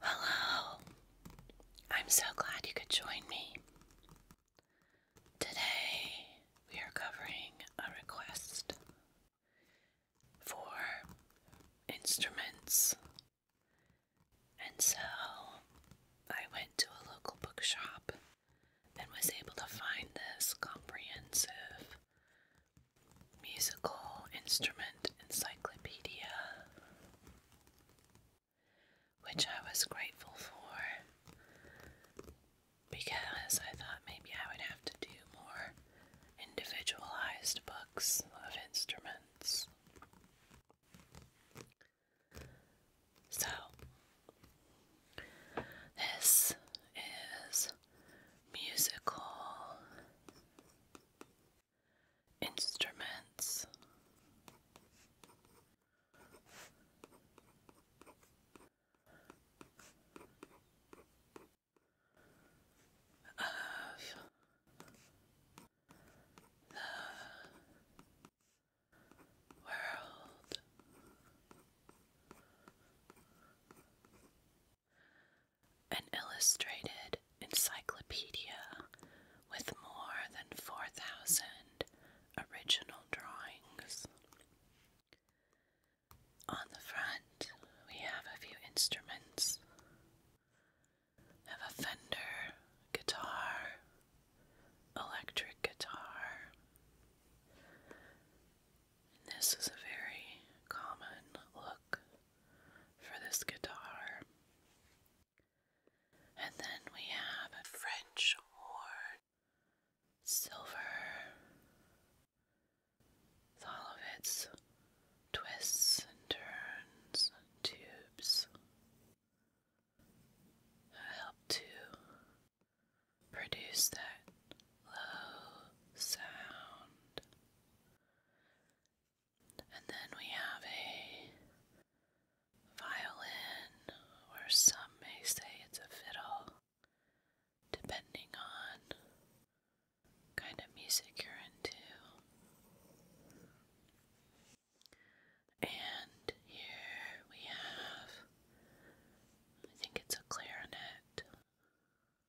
Hello! I'm so glad you could join me. Today we are covering a request for instruments, and so I went to a local bookshop and was able to find this comprehensive musical instrument encyclopedia, which I was grateful for because I thought maybe I would have to do more individualized books of instruments. So, this is musical instruments. Of the world an illustrated encyclopedia with more than 4,000 original drawings. On the front, we have a few instruments. Have a Fender guitar, electric guitar. this is a very common look for this guitar. And then we have a French horn, silver, with all of its twists and turns and tubes help to produce that low sound and then we have a violin, or some may say it's a fiddle, depending on kind of music you're into. And here we have, I think it's a clarinet.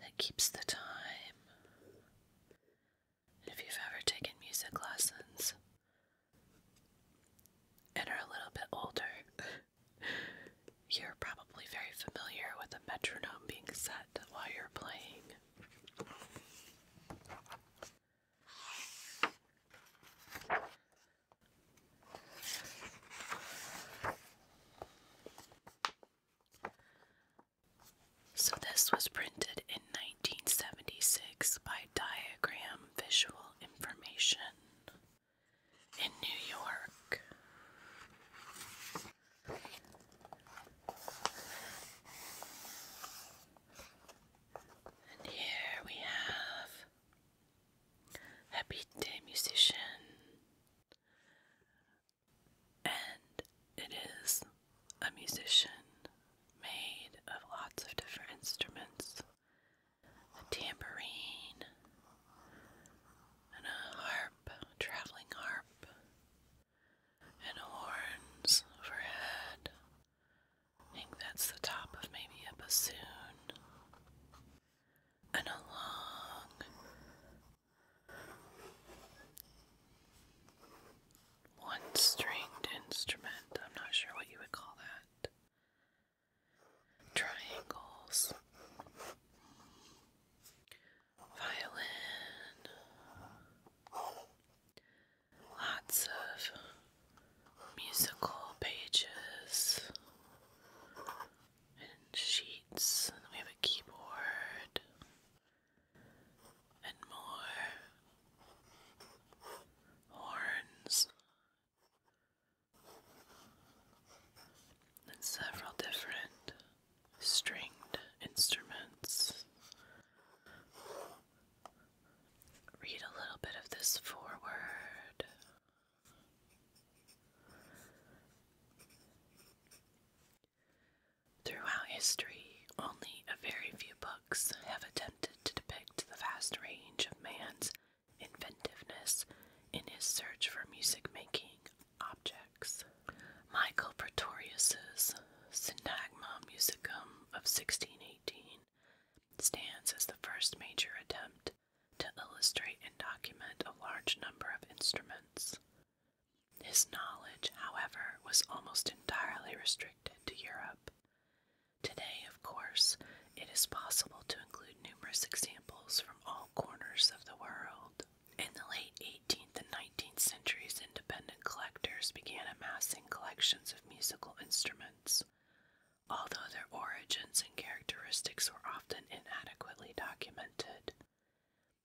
that keeps the time. If you've ever taken music lessons and are a little bit older, you're probably very familiar with the metronome being set while you're playing. So, this was printed in 1976 by Diagram Visual Information in New York. And here we have Happy Day Musician and it is a musician made of lots of different instruments a tambourine and a harp, a traveling harp, and horns for head. I think that's the top of maybe a bassoon. And a long one stringed instrument, I'm not sure what you would call that. Triangles, violin, lots of musical pages and sheets. And we have a keyboard and more horns and several different stringed instruments. Read a little bit of this forward. Throughout history, only a very few books have attempted to depict the vast range of man's inventiveness in his search for music making objects. Michael Pretorius's Syntagma Musicum of 1618 stands as the first major attempt to illustrate and document a large number of instruments. His knowledge, however, was almost entirely restricted to Europe. Today, of course, it is possible to include numerous examples from all corners of the world. In the late 18th and 19th centuries, independent collectors began amassing collections of musical instruments, although their origins and characteristics were often inadequately documented.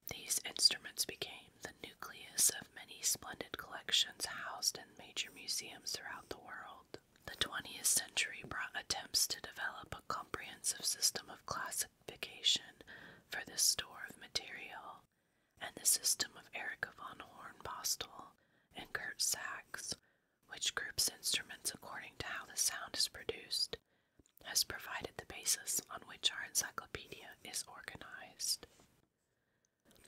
These instruments became the nucleus of many splendid collections housed in major museums throughout the world. The 20th century brought attempts to develop a comprehensive system of classification for this store of material, and the system of Erika von Hornbostel and Kurt Sachs, which groups instruments according to how the sound is produced has provided the basis on which our encyclopedia is organized.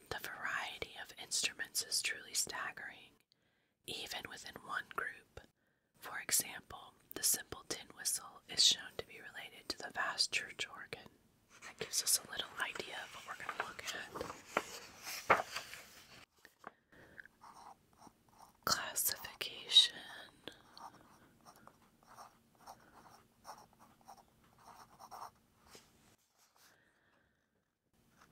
The variety of instruments is truly staggering, even within one group. For example, the simple tin whistle is shown to be related to the vast church organ. That gives us a little idea of what we're going to look at classification.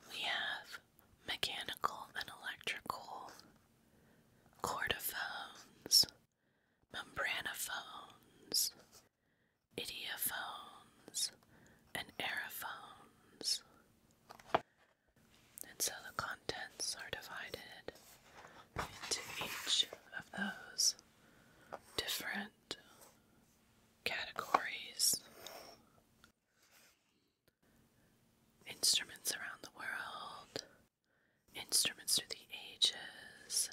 We have mechanical and electrical chordophones, membranophones, idiophones, and aerophones. And so the contents are divided into each of those different categories. Instruments around the world, instruments through the ages,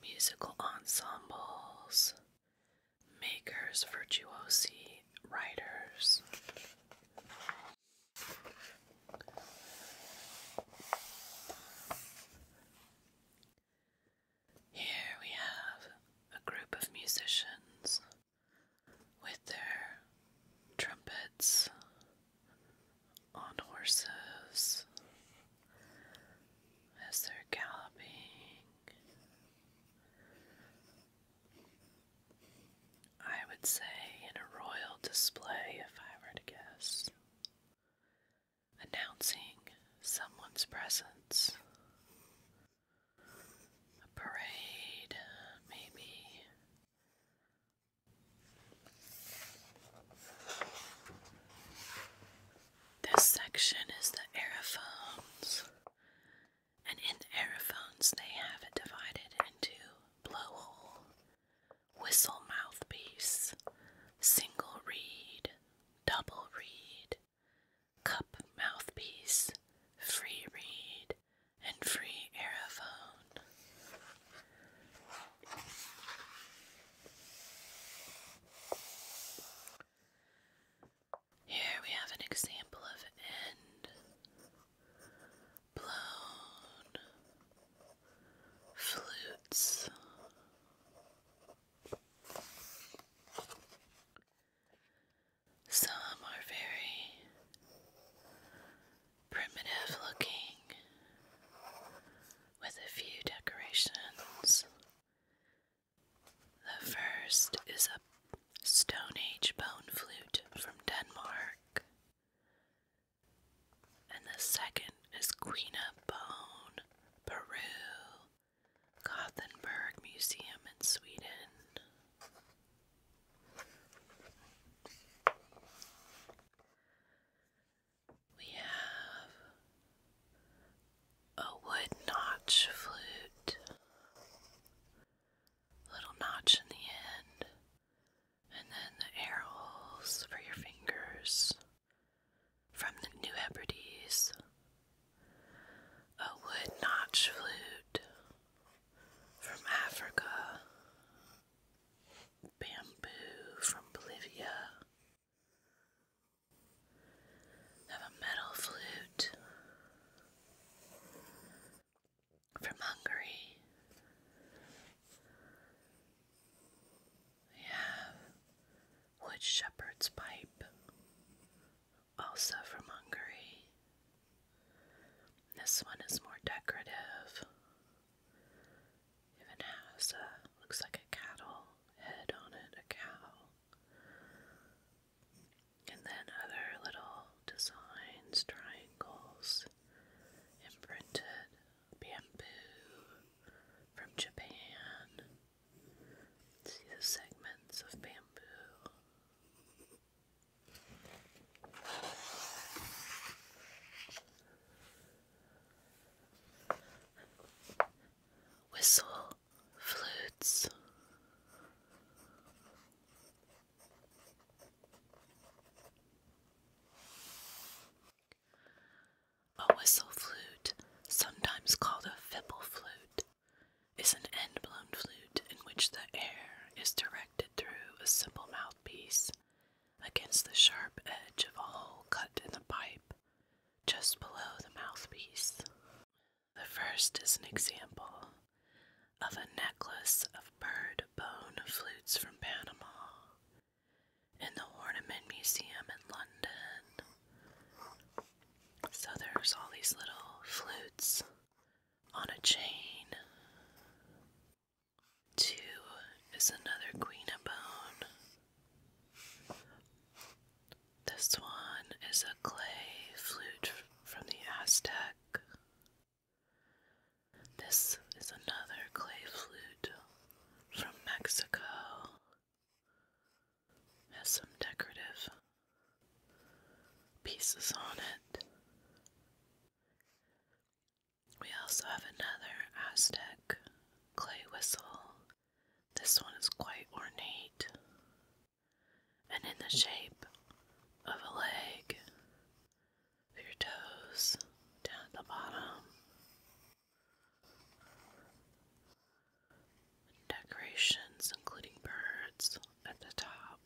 musical ensembles, makers, virtuosi, writers. Here we have a group of musicians with their trumpets on horses as they're galloping. I would say in a royal display, if I were to guess. Announcing someone's presence. A parade, maybe. This section is the aerophones, and in the aerophones, they have it divided into blowhole whistle mouthpiece, single reed, double reed, cup mouthpiece, free reed, and free aerophone. Here we have an example of end blown flutes. Some are very primitive looking with a few decorations. The first is a Stone Age bone flute from Denmark and the second is Queen of Bone, Peru, Gothenburg Museum in Sweden. We have a wood notch flute, little notch in the end, and then the arrows for your fingers from the New Hebrides, a wood notch flute from Africa, bamboo from Bolivia, have a metal flute, from Hungary. We wood shepherd's pipe, also from Hungary. This one is more decorative. Even has a looks like a cattle head on it, a cow. And then other little designs, triangles, imprinted bamboo from Japan. See the segments of bamboo. Whistle flutes. A whistle flute, sometimes called a fipple flute, is an end blown flute in which the air is directed through a simple mouthpiece against the sharp edge of a hole cut in the pipe just below the mouthpiece. The first is an example of a necklace of bird bone flutes from Panama in the Ornament Museum in London. So there's all these little flutes on a chain. Two is another Queen of Bone. This one is a clay flute from the Aztec this is another clay flute from Mexico. Has some decorative pieces on it. We also have another Aztec clay whistle. This one is quite ornate and in the shape of a leg your toes down at the bottom. Decorations, including birds, at the top.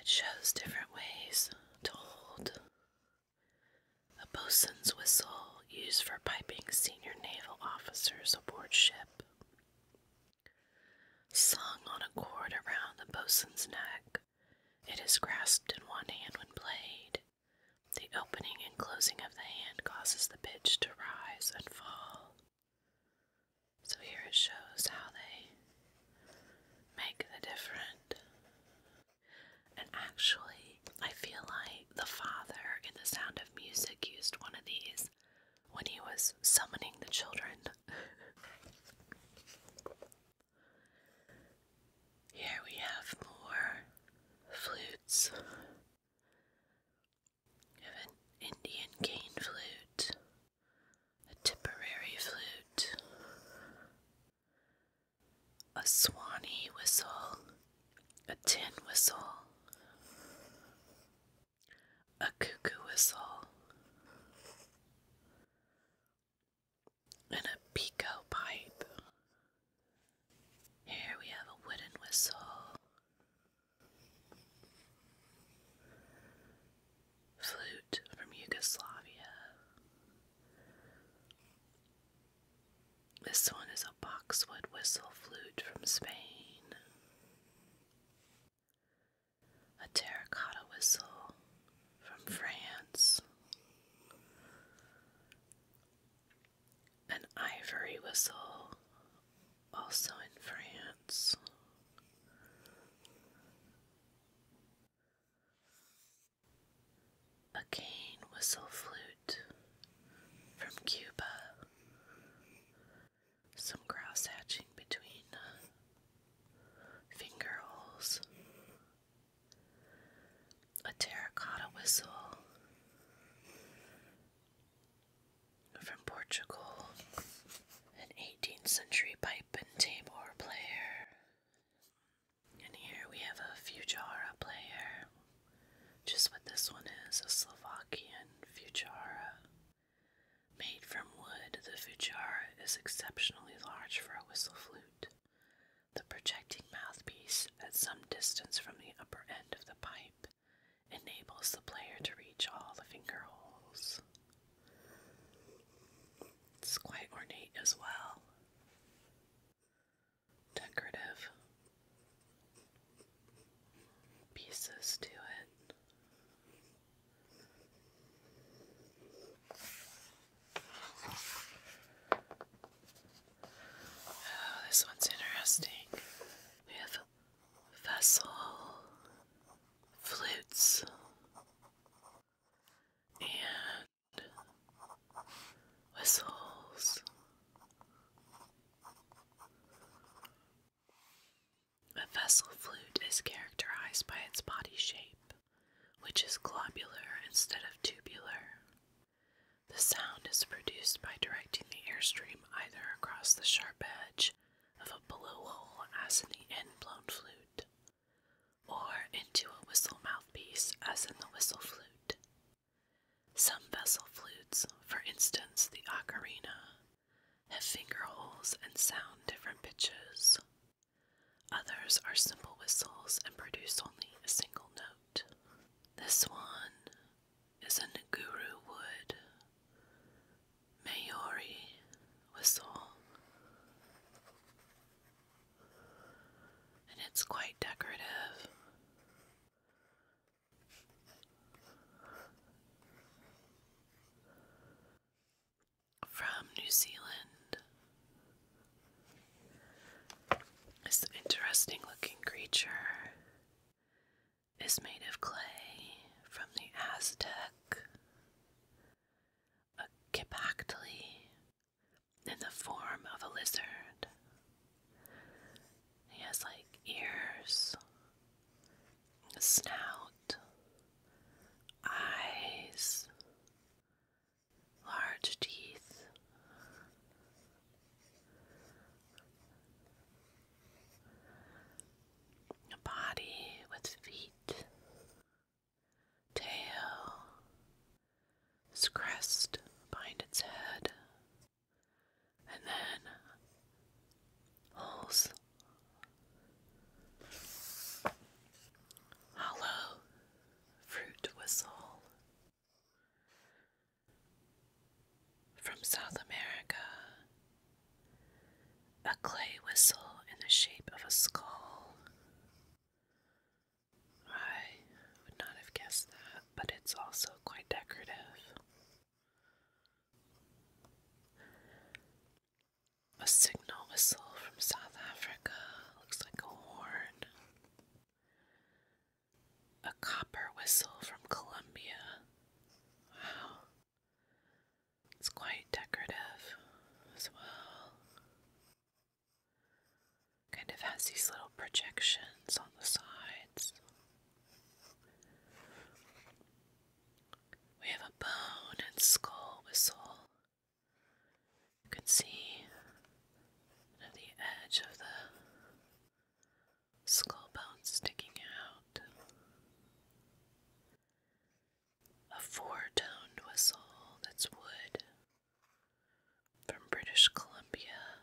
It shows different ways to hold a boatswain's whistle used for piping senior naval officers aboard ship. Sung on a cord around the bosun's neck, it is grasped in one hand when played. The opening and closing of the hand causes the pitch to rise and fall. So here it shows how they make the different. And actually, I feel like the father in The Sound of Music used one of these when he was summoning the children. Here we have more flutes. an Indian cane flute, a Tipperary flute, a Swanee whistle, a tin whistle, a cuckoo whistle, and a pico pipe. Here we have a wooden whistle, flute from Yugoslavia. This one is a boxwood whistle flute from Spain a terracotta whistle from France, an ivory whistle, also in France. A cane whistle flute from Cuba, some grouse hatching between uh, finger holes, a terracotta whistle from Portugal, an 18th century pipe and tabor player. And here we have a Fujara player, just what this one is a Slovakian Fujara Made from wood, the fujara is exceptionally large for a whistle flute. The projecting mouthpiece, at some distance from the upper end of the pipe, enables the player to reach all the finger holes. It's quite ornate as well. Decorative pieces to it. Oh, this one's interesting. We have vessel, flutes, and whistles. A vessel flute is characterized by its body shape, which is globular instead of tubular. The sound is produced by directing the airstream either across the sharp edge of a blowhole, as in the end blown flute, or into a whistle mouthpiece as in the whistle flute. Some vessel flutes, for instance the ocarina, have finger holes and sound different pitches. Others are simple whistles and produce only a single note. This one is a Nguru wood Maori whistle, and it's quite decorative from New Zealand. This interesting looking creature is made of clay from the Aztec, a kipactli in the form of a lizard. He has like ears snout, eyes, large teeth. A body with feet, tail, its crest behind its head, and then holes Hollow fruit whistle from South America. A clay whistle in the shape of a skull. I would not have guessed that, but it's also quite decorative. A signal whistle from South Africa. Looks like a horn. A copper whistle from Colombia. Wow. It's quite decorative as well. Kind of has these little projections on the sides. We have a bone and skull whistle. You can see the edge of the skull bone sticking out. A four toned whistle that's wood from British Columbia,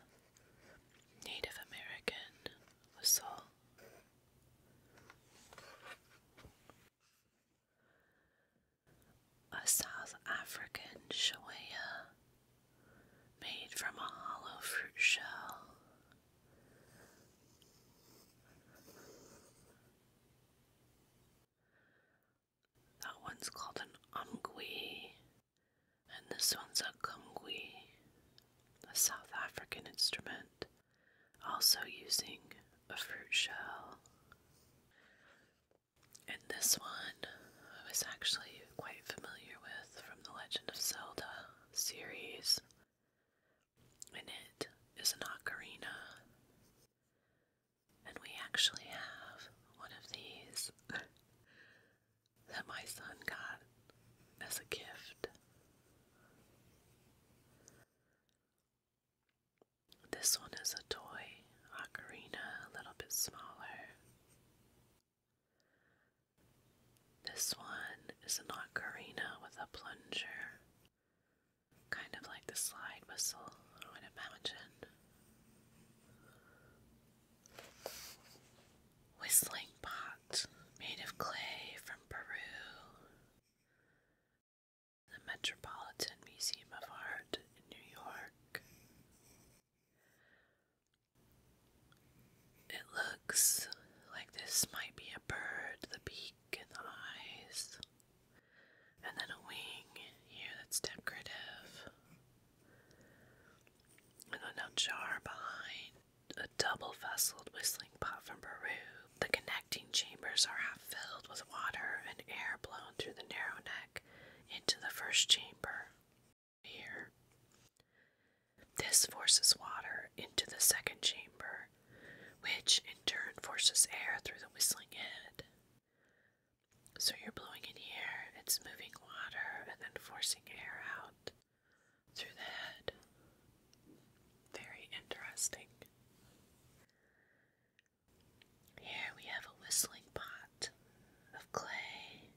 Native American whistle. A South African shawaya made from a hollow fruit shell. That one's called an umgwi, and this one's a kumgwi, a South African instrument also using a fruit shell. And this one I was actually quite familiar with from the Legend of Zelda series. And it is an ocarina. And we actually have one of these that my son got as a gift. This one is a toy ocarina, a little bit smaller. This one is an ocarina with a plunger, kind of like the slide whistle, I would imagine. Whistling pot made of clay from Peru the Metropolitan Museum of Art in New York. It looks like this might be a bird, the beak and the eyes, and then a wing here that's decorative, and then a jar behind, a double-vesselled whistling pot from Peru. The connecting chambers are half filled with water and air blown through the narrow neck into the first chamber. Here. This forces water into the second chamber, which in turn forces air through the whistling head. So you're blowing in here, it's moving water and then forcing air out through the head. Very interesting. Here we have a whistling pot of clay,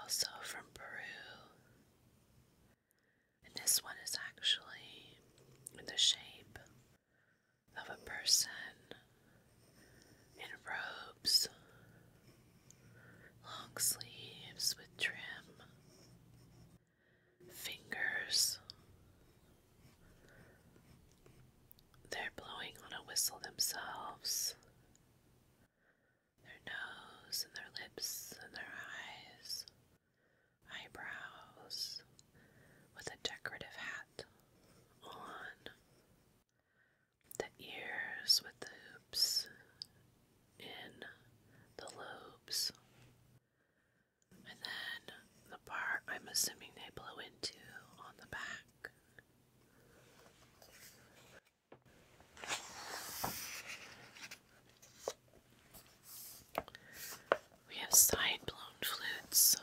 also from Peru. And this one is actually in the shape of a person in robes, long sleeves with trim fingers. They're blowing on a whistle themselves. Their nose and their lips and their eyes, eyebrows, with a decorative hat on, the ears with the hoops in the lobes, and then the part I'm assuming they blow into on the back. We have side blown flutes.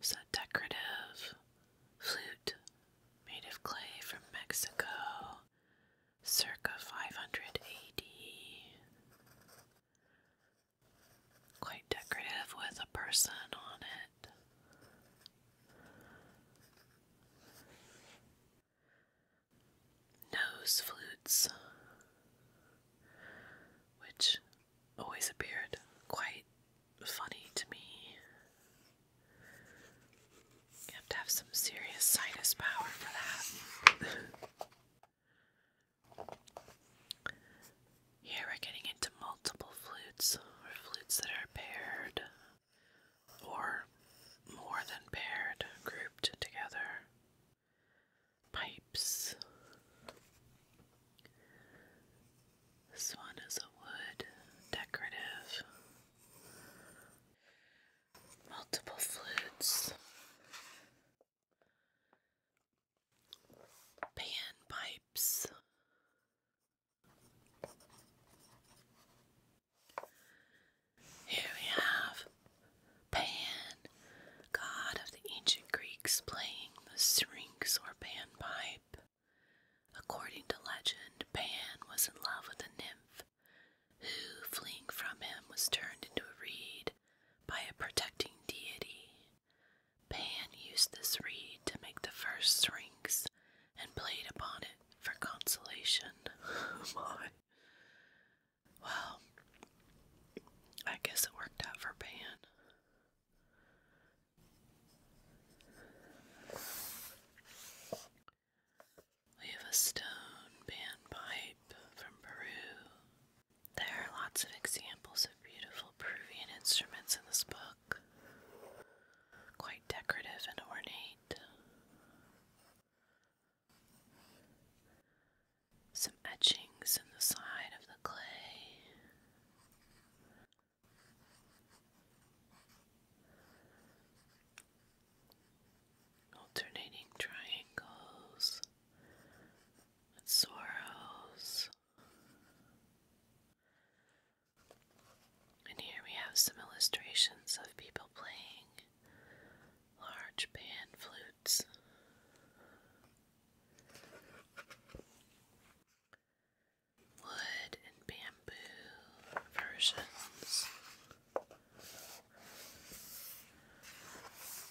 It's decorative flute made of clay from Mexico circa 500 AD. Quite decorative with a person on it. Nose flutes, which always appeared quite funny to me. You have to have some serious sinus power for that. Here we're getting into multiple flutes, or flutes that are paired, or more than paired, grouped together. Pipes. This one is a wood decorative multiple flutes, panpipes, here we have Pan, god of the ancient Greeks, playing the syrinx or panpipe. According to legend, Pan was in love with a nymph who, fleeing from him, was turned into a reed by a protecting deity. Pan used this reed to make the first Syrinx and played upon it for consolation. Oh, well, I guess it worked out for Pan. We have a stone panpipe from Peru. There are lots of examples of beautiful Peruvian instruments in this book, quite decorative and ornate. Some etchings in the side of the clay alternating triangles and sorrows. And here we have some illustrations of people playing large pan flutes. Wood and bamboo shampoo versions.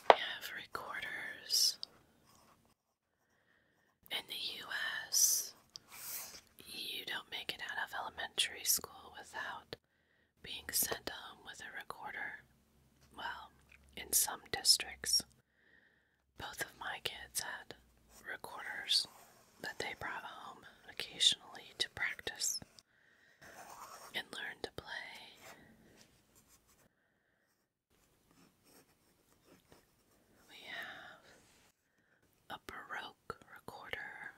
have recorders. In the US, you don't make it out of elementary school without being sent home with a recorder. Well, in some districts, both of my kids had recorders that they brought home occasionally to practice and learn to play. We have a Baroque recorder,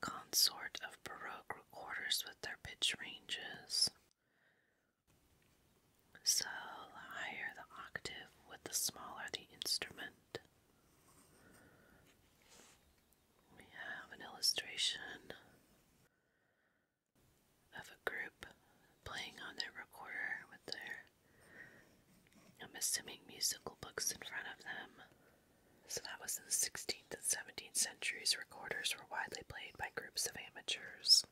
consort of Baroque recorders with their pitch ranges. So, higher the octave, with the smaller the instrument. We have an illustration of a group playing on their recorder with their, I'm assuming, musical books in front of them. So that was in the 16th and 17th centuries. Recorders were widely played by groups of amateurs.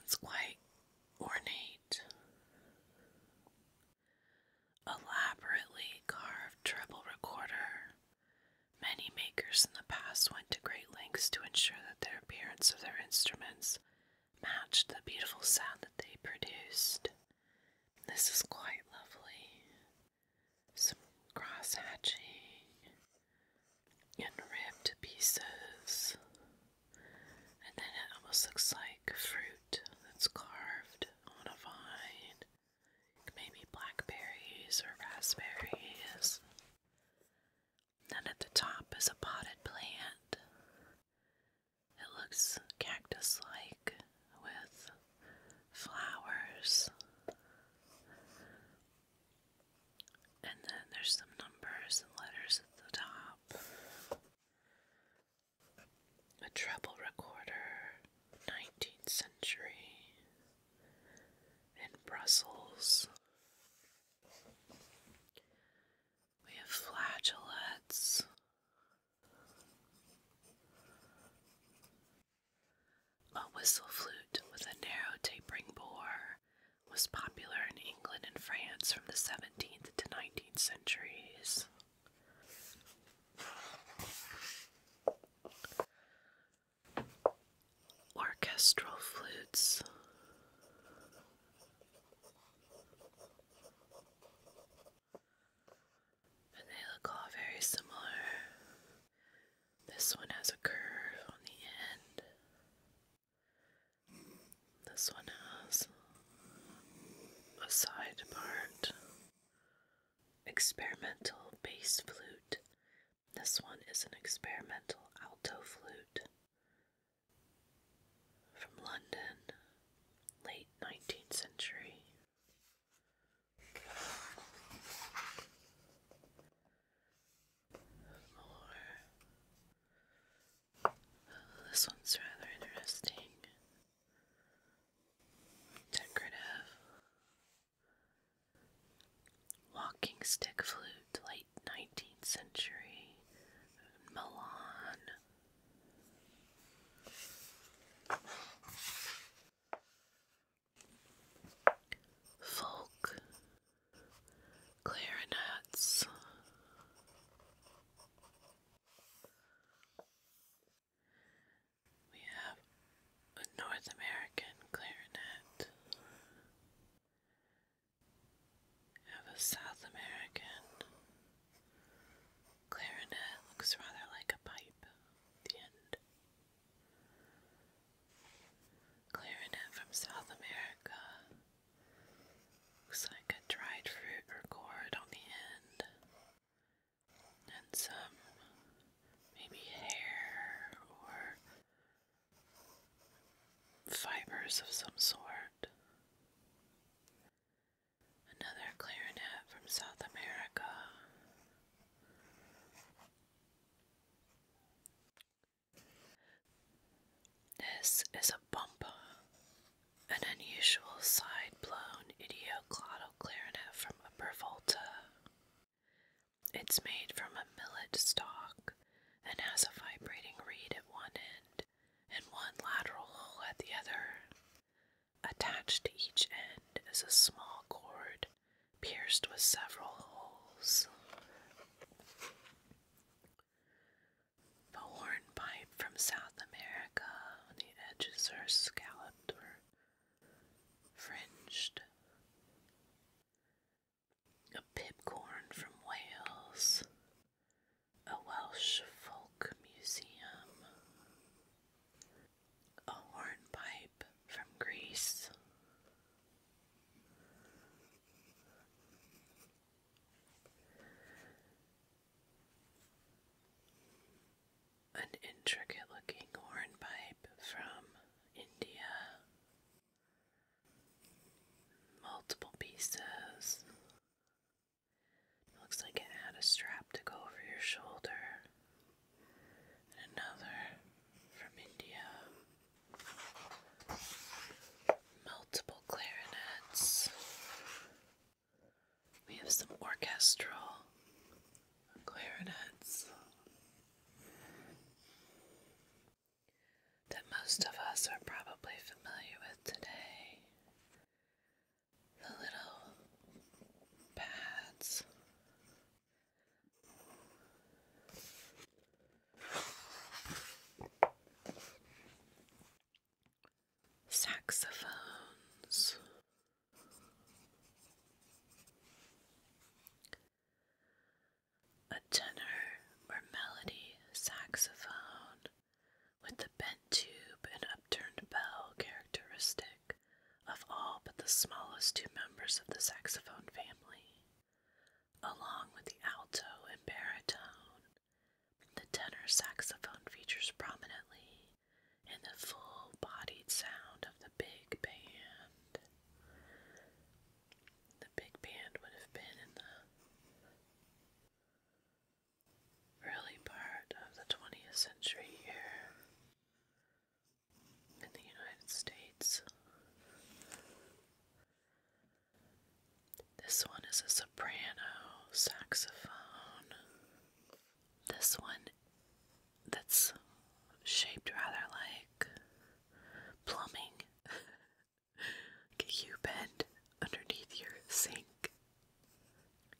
It's quite ornate. Elaborately carved treble recorder. Many makers in the past went to great lengths to ensure that their appearance of their instruments matched the beautiful sound that they produced. This is quite lovely. Some cross and ribbed pieces and then it almost looks like fruit that's carved on a vine. Maybe blackberries or raspberries. Then at the top is a potted plant. It looks cactus like with flowers. And then there's some numbers and letters at the top. A treble recorder, 19th century, in Brussels. We have flageolets. A whistle flute with a narrow tapering bore was popular in England and France from the 17th to 19th centuries. Orchestral flutes. And they look all very similar. This one has a curve on the end. This one has a side part experimental bass flute. This one is an experimental alto flute from London, late 19th century. Oh, this one's rather interesting. Decorative. Walking stick flute, late 19th century, Milan. Folk clarinets. We have a North American clarinet, have a South American clarinet, looks rather like a pipe the end. Clarinet from South America Looks like a dried fruit or gourd on the end. And some maybe hair or fibers of some sort. Another clarinet from South America. This is a bumpa, an unusual side blown idioclottal clarinet from Upper Volta. It's made from a millet stalk and has a vibrating reed at one end and one lateral hole at the other. Attached to each end is a small cord pierced with several holes. The hornpipe from South America, the edges are scalloped or fringed. A pipcorn from Wales, a Welsh folk museum, a hornpipe from Greece, an intricate looking horn from India. Multiple pieces. looks like it had a strap to go over your shoulder. another from India. Multiple clarinets. We have some orchestral clarinets that most of us are probably familiar with today. The little pads. Saxophones. A tenor or melody saxophone with the bent tube and upturned bell characteristic of all but the smallest two members of the saxophone family. Along with the alto and baritone, the tenor saxophone features prominently in the full bodied sound of the big band. The big band would have been in the early part of the 20th century here in the United States. This one is a soprano saxophone. This one that's shaped rather like plumbing. like you bend underneath your sink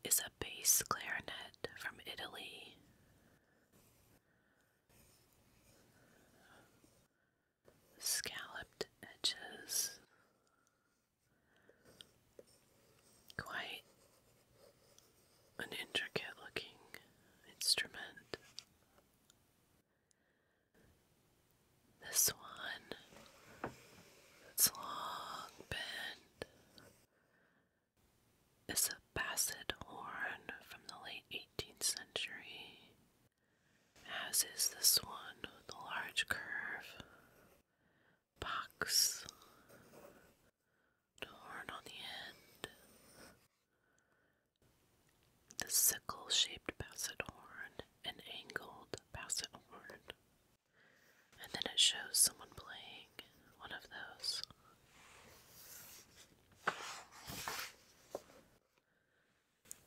is a bass clarinet from Italy scalloped edges. Quite an intricate looking instrument. This one, its long bend, is a bassett horn from the late 18th century as is this one with the large curve box, the horn on the end, the sickle shaped basset horn, and angled basset horn. And then it shows someone playing one of those.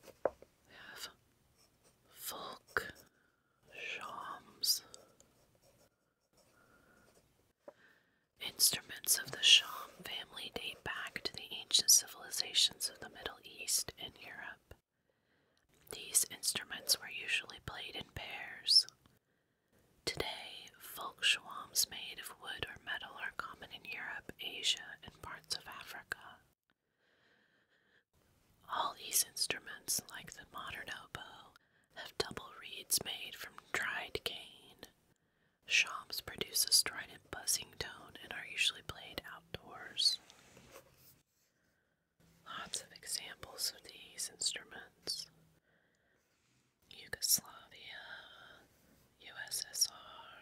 We have Fulk Shams. Instruments of the Sham family date back to the ancient civilizations of the Middle East and Europe. These instruments were usually played in pairs. Today, folk shawms made of wood or metal are common in Europe, Asia, and parts of Africa. All these instruments, like the modern oboe, have double reeds made from dried cane. Shams produce a strident buzzing tone and are usually played outdoors. Lots of examples of these instruments Yugoslavia, USSR,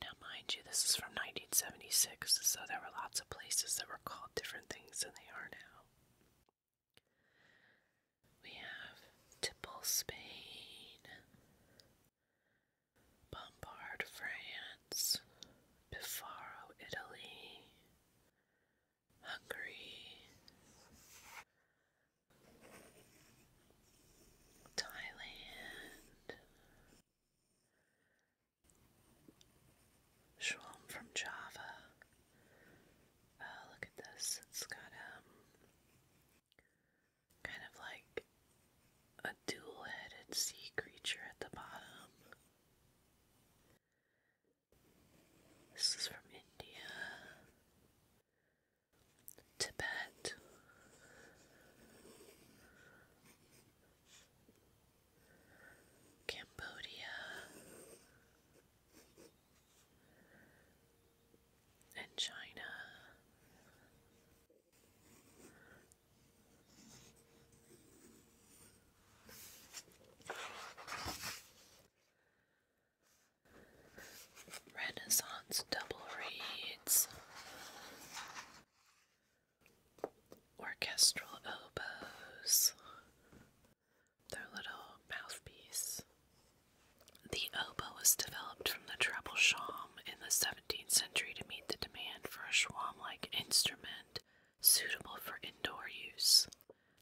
now, mind you, this is from 1976, so there were lots of places that were called different things than they are now. We have Tipple, Spain, Bombard, France, Bifaro, Italy, Hungary, Thailand, Schwalm from Java. Oh, look at this. It's got um kind of like a dual-headed sea creature at the bottom. This is from India. Tibet. Cambodia and China. Renaissance double reads orchestral oboes, their little mouthpiece. The oboe was developed from the treble shawm in the 17th century to meet the demand for a schwam like instrument suitable for indoor use.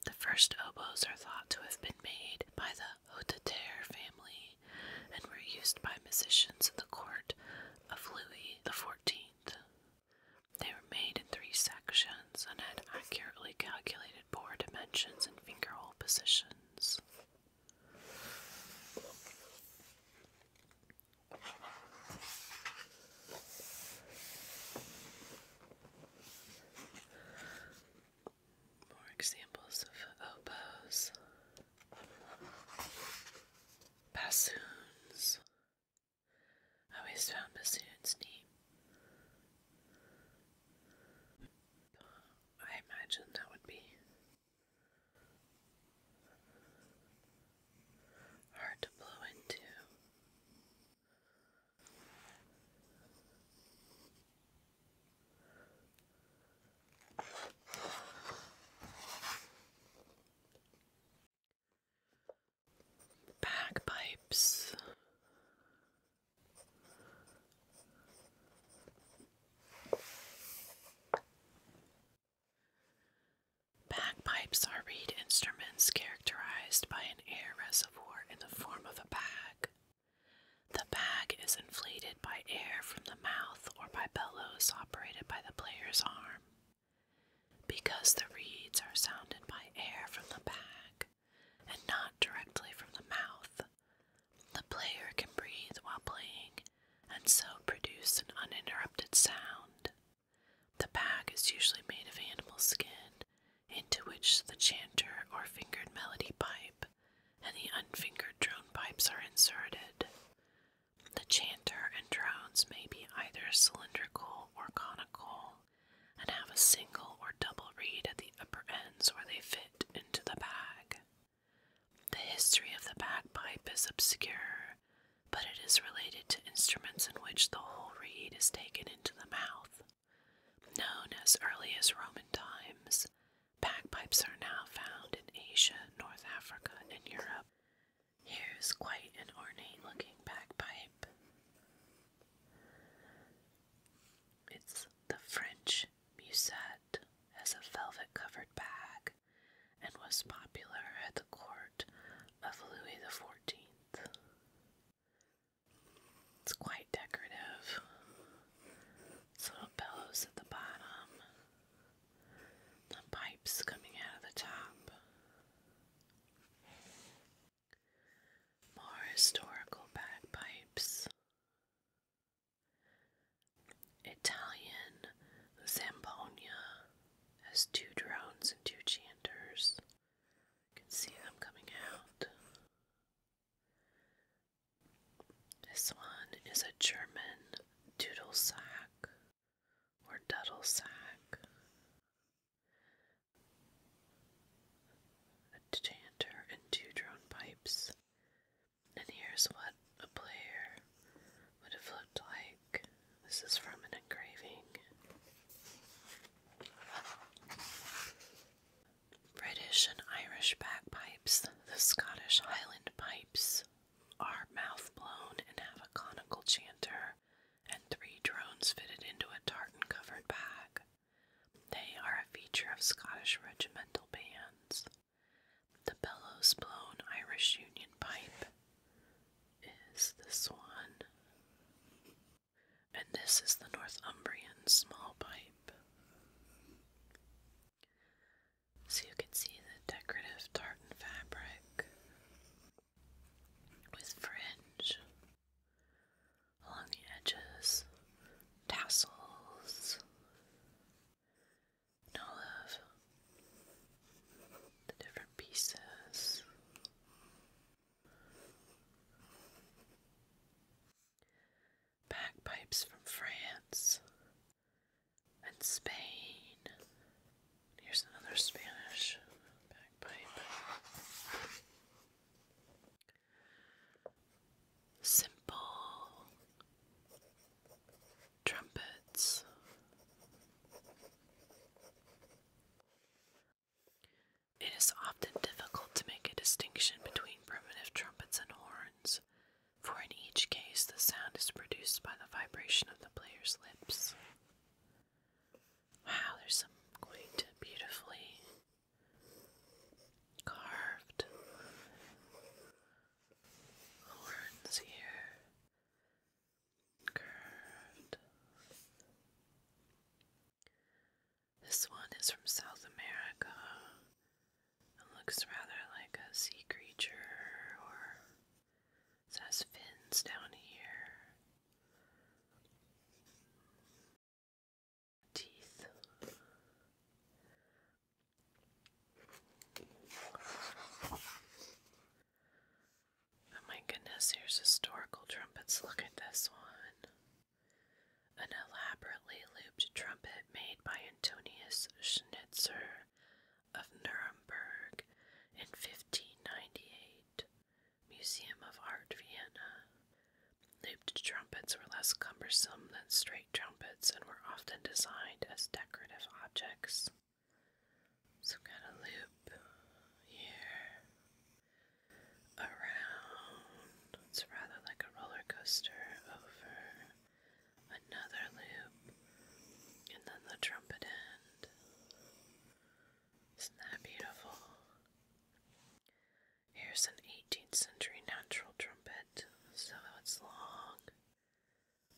The first oboes are thought to have been made by the Hotteterre family and were used by musicians in the court of Louis XIV. They were made in three sections and had accurately calculated bore dimensions and fingerhole positions. More examples of oboes. Bassoons. I always found bassoons deep. I imagine that would be hard to blow into. Bagpipes. Bagpipes are reed instruments characterized by an air reservoir in the form of a bag. The bag is inflated by air from the mouth or by bellows operated by the player's arm. Because the reeds are sounded by air from the bag and not directly from the mouth, the player can breathe while playing and so produce an uninterrupted sound. The bag is usually made of animal skin, into which the chanter or fingered melody pipe and the unfingered drone pipes are inserted. The chanter and drones may be either cylindrical or conical and have a single or double reed at the upper ends where they fit into the bag. The history of the bagpipe is obscure, but it is related to instruments in which the whole reed is taken into the mouth. Known as early as Roman times, Bagpipes are now found in Asia, North Africa, and Europe. Here's quite an ornate looking bagpipe. It's the French musette as a velvet covered bag and was popular at the court of Louis XIV. It's quite decorative. It's little bellows at the bottom the pipes coming out of the top. More historical bagpipes. Italian Zambonia has two drones and two chanters. You can see them coming out. This one is a German doodle sack or dudle sack. A chanter and two drone pipes. And here's what a player would have looked like. This is from an engraving. British and Irish bagpipes, the Scottish Highland pipes, are mouth blown and have a conical chanter and three drones fitted into a tartan covered bag. They are a feature of Scottish regimental bands. The bellows blown Irish Union pipe is this one. And this is the Northumbrian small pipe. So you can see the decorative tartan fabric with fringe along the edges, tassels, and all of the different pieces. Bagpipes from France and Spain. Here's another Spanish bagpipe. Simple trumpets. It is often difficult to make a distinction between primitive trumpets and horns, for in each case the sound is produced by the vibration of the player's lips. Wow, there's some quite beautifully carved horns here. Curved. This one is from South America. It looks rather like a sea creature, or it has fins down here. Teeth. Oh my goodness, here's historical trumpets. Look at this one. An elaborately looped trumpet made by Antonius Schnitzer of Nuremberg in 1598, Museum of Art Vienna. Looped trumpets were less cumbersome than straight trumpets and were often designed as decorative objects. So, got a loop here around. It's rather like a roller coaster over another loop, and then the trumpet end. Isn't that beautiful? Here's an 18th century natural trumpet, so it's long.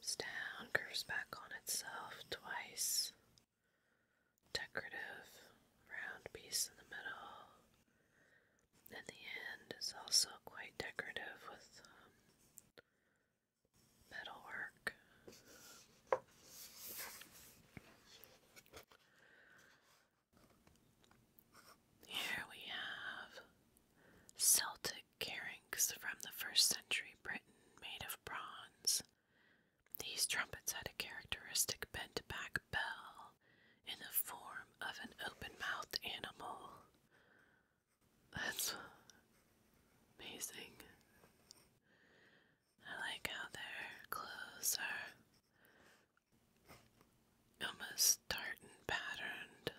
It's curves back on itself twice. Decorative, round piece in the middle. And the end is also quite decorative with um, metalwork. Here we have Celtic carings from the first century Britain made of bronze. These trumpets had a characteristic bent back bell in the form of an open mouthed animal. That's amazing. I like how their clothes are almost tartan patterned.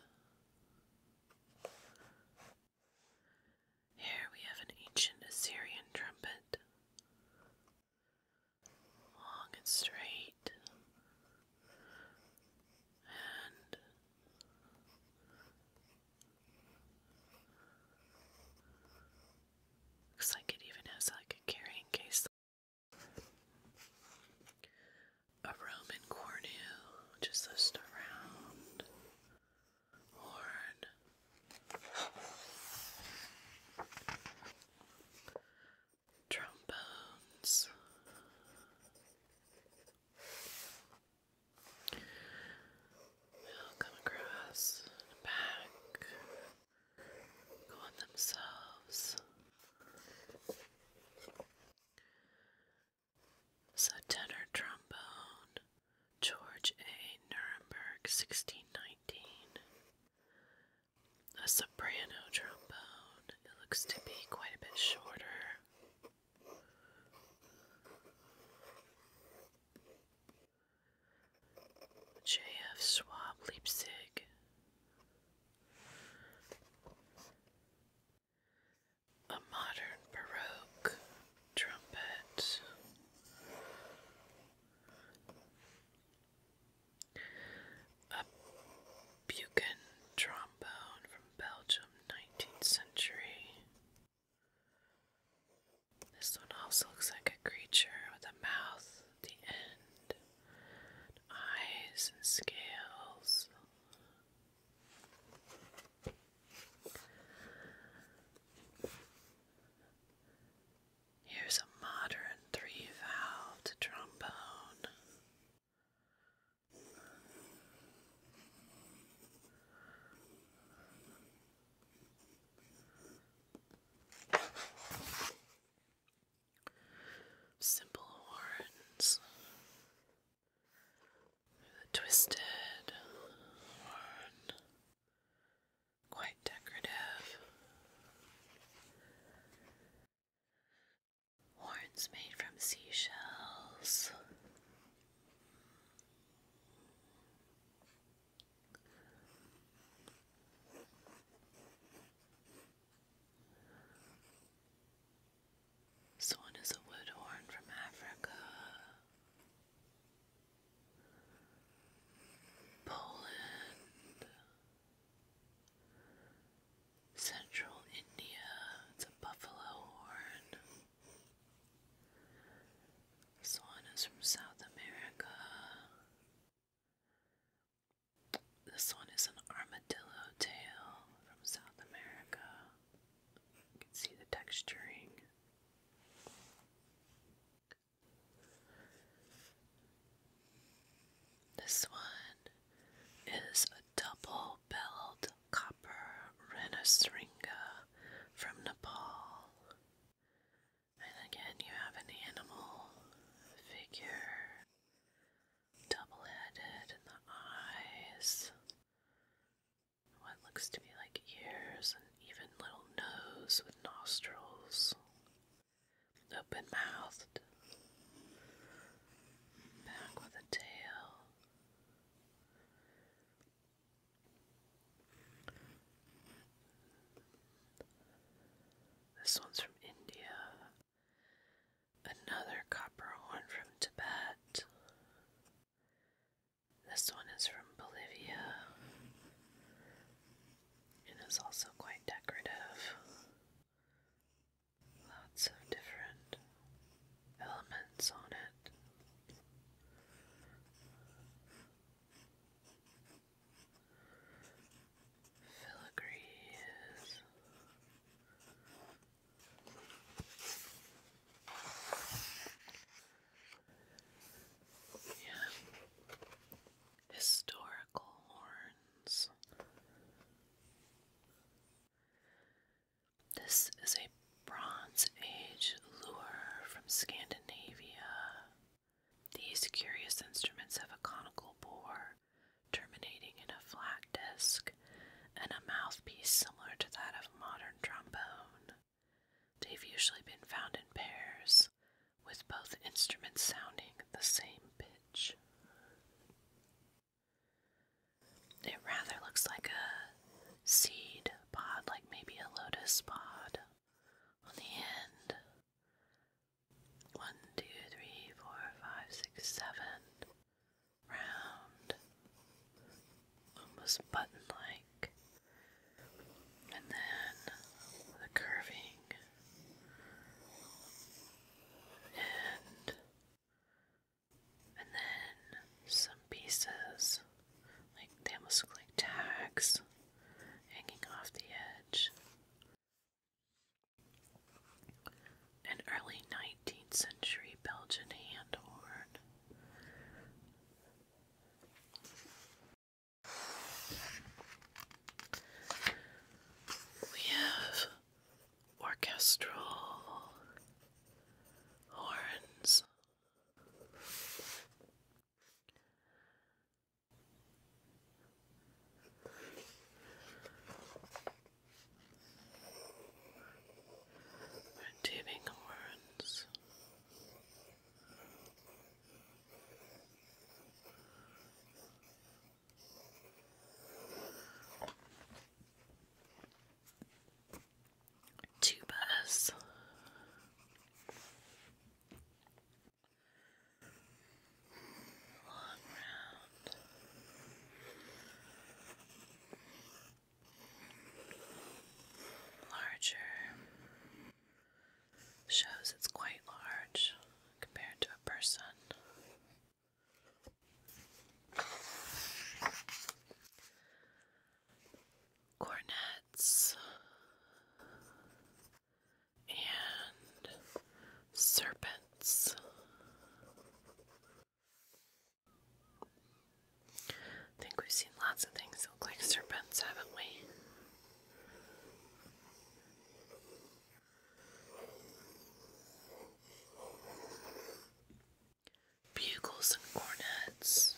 Here we have an ancient Assyrian trumpet, long and straight, and looks like it even has like a carrying case. A Roman cornu just just around horn. Trombones, They'll come across the back, go themselves. So tenor trombone, George A. Nuremberg, 1619. A soprano trombone, it looks to be quite a bit shorter. J.F. Swab Leipzig. A modern Baroque trumpet. A Buchan drum from Belgium, 19th century. This one also looks like a creature with a mouth the end, eyes, and scales. Here's a modern three valved trombone. Simple horns, the twisted horn, quite decorative. Horns made from seashells. This one is a wood horn from Africa. Poland central India, it's a buffalo horn. This one is from South America. This one is an armadillo tail from South America. You can see the texturing. This one is a double billed copper renasringa from Nepal. And again, you have an animal figure, double headed in the eyes, what looks to be like ears and even little nose with nostrils, open mouthed, back with a tail. This one's from India. Another copper horn from Tibet. This one is from Bolivia and is also quite decorative lots of different elements on it. Filigree is yeah. Historical horns. This is a Bronze Age lure from Scandinavia. These curious instruments have a conical bore terminating in a flat disc and a mouthpiece similar to that of a modern trombone. They've usually been found in pairs, with both instruments sounding the same pitch. It rather looks like a seed pod, like maybe a lotus pod on the end. One, two, three, four, five, six, seven. Round. Almost button like. And then the curving. And and then some pieces, like they almost look like tags hanging off the edge. An early 19th century Belgian hand horn. We have orchestral horns. we horns tubers. Long round. Larger. Shows it's quite large compared to a person cornets and serpents. I think we've seen lots of things that look like serpents, haven't we? Bugles and cornets.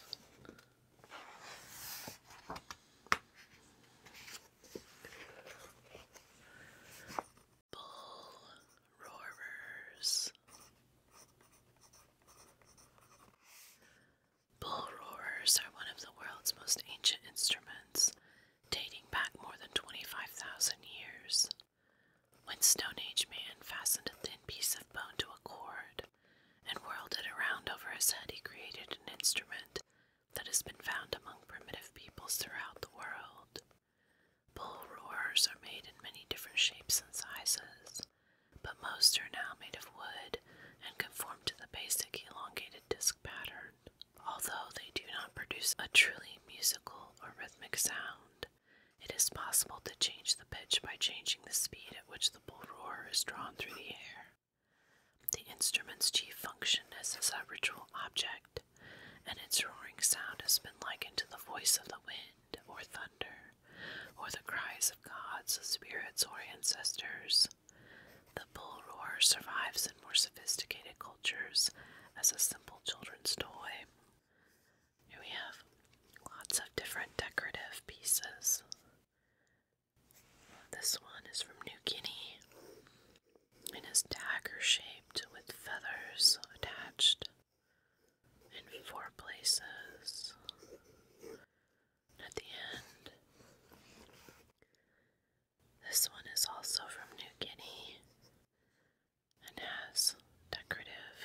Bull roarers. Bull roarers are one of the world's most ancient instruments, dating back more than 25,000 years. When Stone Age man fastened a thin piece of bone to a cord and whirled it around over his head, he created an instrument that has been found among primitive peoples throughout the world. Bull roars are made in many different shapes and sizes, but most are now made of wood and conform to the basic elongated disc pattern, although they do not produce a truly musical or rhythmic sound. It is possible to change the pitch by changing the speed at which the bull roar is drawn through the air. The instrument's chief function is as a ritual object, and its roaring sound has been likened to the voice of the wind or thunder, or the cries of gods, spirits, or ancestors. The bull roar survives in more sophisticated cultures as a simple children's toy here we have lots of different decorative pieces. This one is from New Guinea and is dagger shaped with feathers attached in four places. At the end, this one is also from New Guinea and has decorative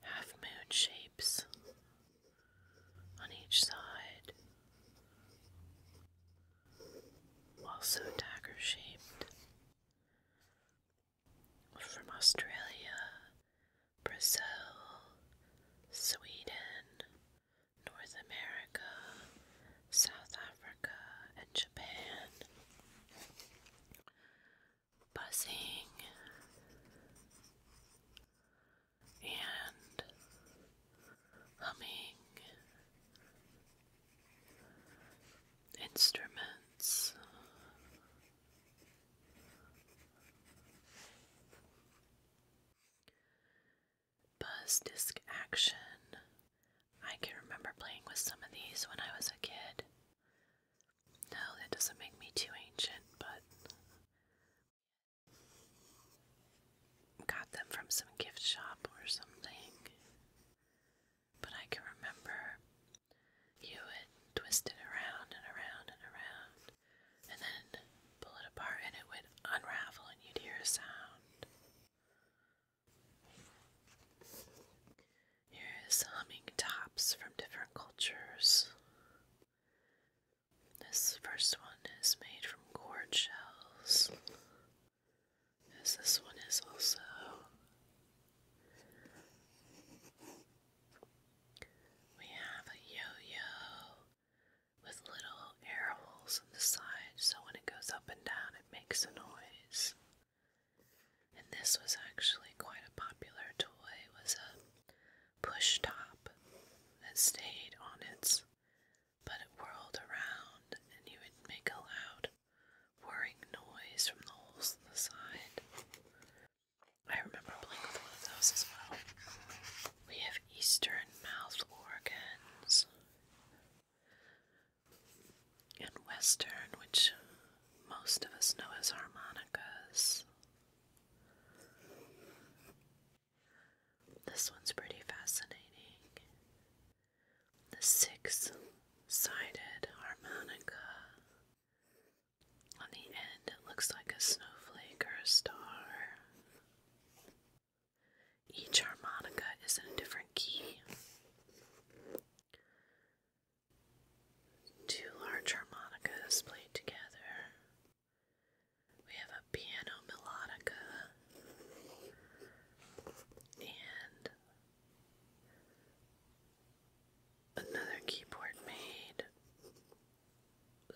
half moon shapes on each side, also dagger shaped from Australia, Brazil, Sweden, North America, South Africa, and Japan. Buzzing and humming instruments. Buzz Disc Action. I can remember playing with some of these when I was a kid. No, that doesn't make me too ancient, but got them from some gift shop or something. But I can remember you would twist it around and around and around, and then pull it apart, and it would unravel, and you'd hear a sound. Here's humming tops from different cultures. This first one is made from cord shells, this one is also. We have a yo yo with little air holes on the side, so when it goes up and down, it makes a noise. And this was actually quite a popular toy. It was a push top that stayed on its, but it whirled around and you would make a loud whirring noise from the holes in the side. I remember playing with one of those as well. We have eastern mouth organs and Western, which most of us know as harmonicas. This one's pretty fascinating. The six sided harmonica. On the end, it looks like a snowflake or a star. Each harmonica is in a different key. Two large harmonicas played together. We have a piano melodica and another keyboard made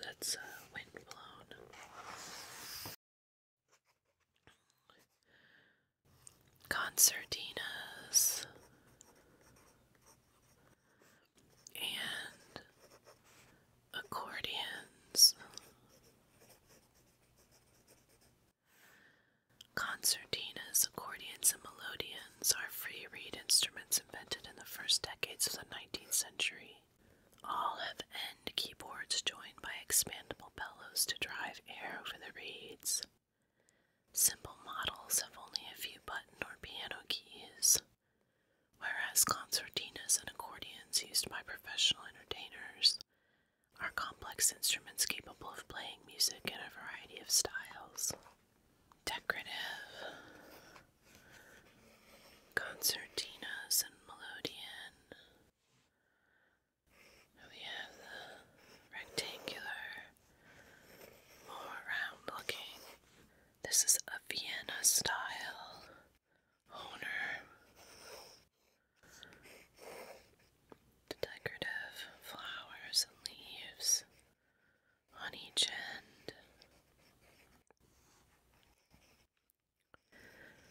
that's uh, wind blown concertinas and accordions. Concertinas, accordions, and melodeons are free reed instruments invented in the first decades of the 19th century. All have keyboards joined by expandable bellows to drive air over the reeds. Simple models have only a few button or piano keys, whereas concertinas and accordions used by professional entertainers are complex instruments capable of playing music in a variety of styles. Decorative concertinas and melodeon we have the rectangular, more round looking. This is a Vienna style owner. decorative flowers and leaves on each end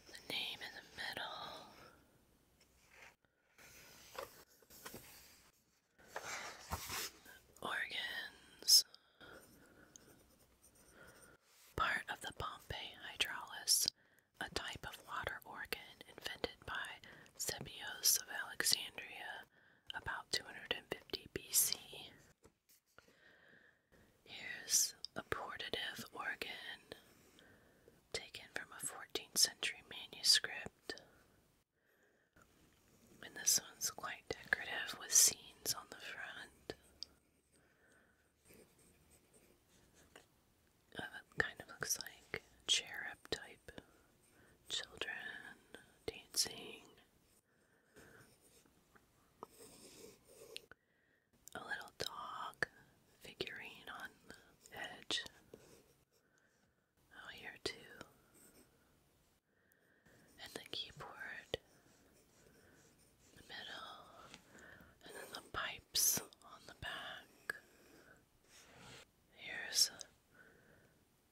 the name in the middle, organs, part of the Pompeii hydraulis, a type of water organ invented by Sebios of Alexandria about 250 BC. Here's a portative organ taken from a 14th century manuscript. And this one's quite decorative with scenes on the front uh, kind of looks like cherub type children dancing a little dog figurine on the edge. Oh, here too. And the keyboard the middle, and then the pipes on the back. Here's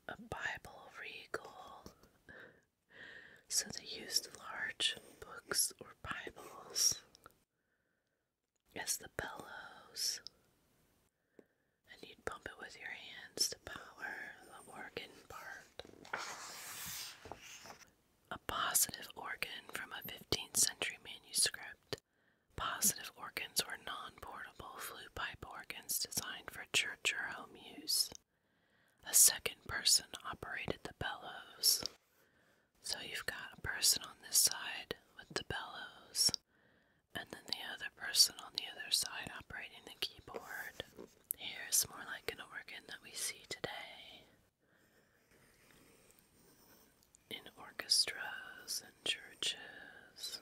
a Bible regal. So they used large books or Bibles is the bellows. And you'd pump it with your hands to power the organ part. A positive organ from a 15th century manuscript. Positive organs were non portable flue pipe organs designed for church or home use. A second person operated the bellows. So you've got a person on this side with the bellows, and then the other person on the other side operating the keyboard. Here's more like an organ that we see today in orchestras and churches.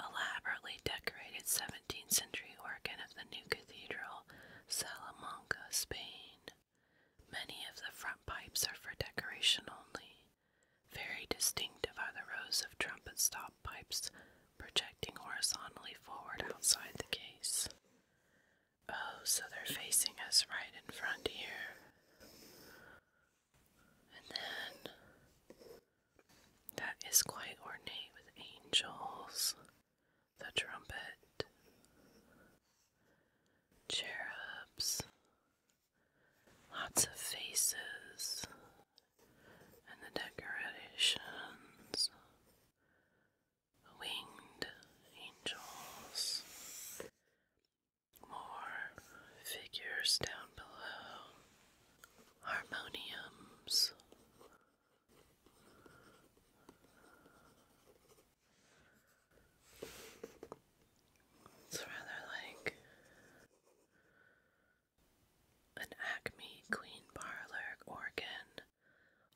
Elaborately decorated 17th century organ of the new cathedral, Salamanca, Spain. Many of the front pipes are for decoration only. Very distinctive are the rows of trumpet stop pipes projecting horizontally forward outside the case. Oh, so they're facing us right in front here. And then that is quite ornate with angels, the trumpet, cherubs, lots of faces, and the decorations, winged angels, more figures down below harmoniums. It's rather like an Acme Queen Parlor organ,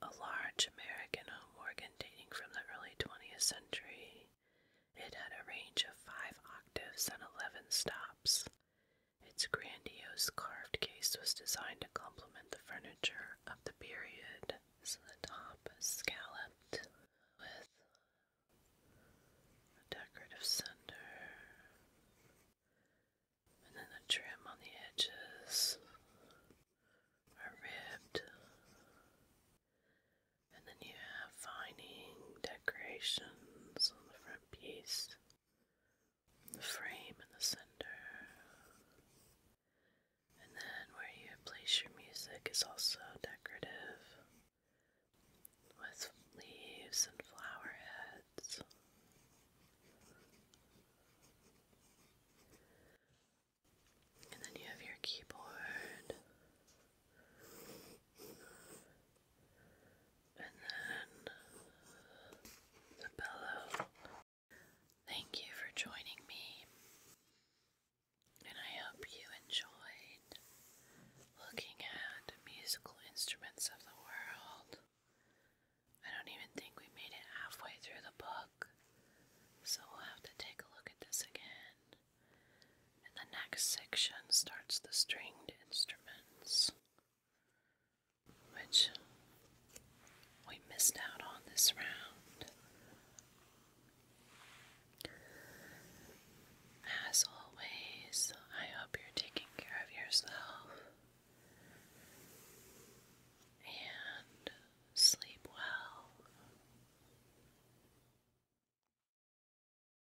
a large American home organ dating from the early 20th century. It had a range of 5 octaves and 11 stops. Its grandiose carved case was designed to complement the furniture of the period, so the top scalloped with a decorative center, and then the trim on the edges are ribbed, and then you have vining decorations on the front piece, the frame in the center. And then where you place your music is also decorative with leaves and flower heads. And then you have your keyboard and then uh, the pillow. Thank you for joining me, and I hope you enjoyed looking at musical instruments of the world. I don't even think we made it halfway through the book, so we'll have to take a look at this again and the next section starts the stringed instruments, which we missed out on this round. As always, I hope you're taking care of yourself and sleep well.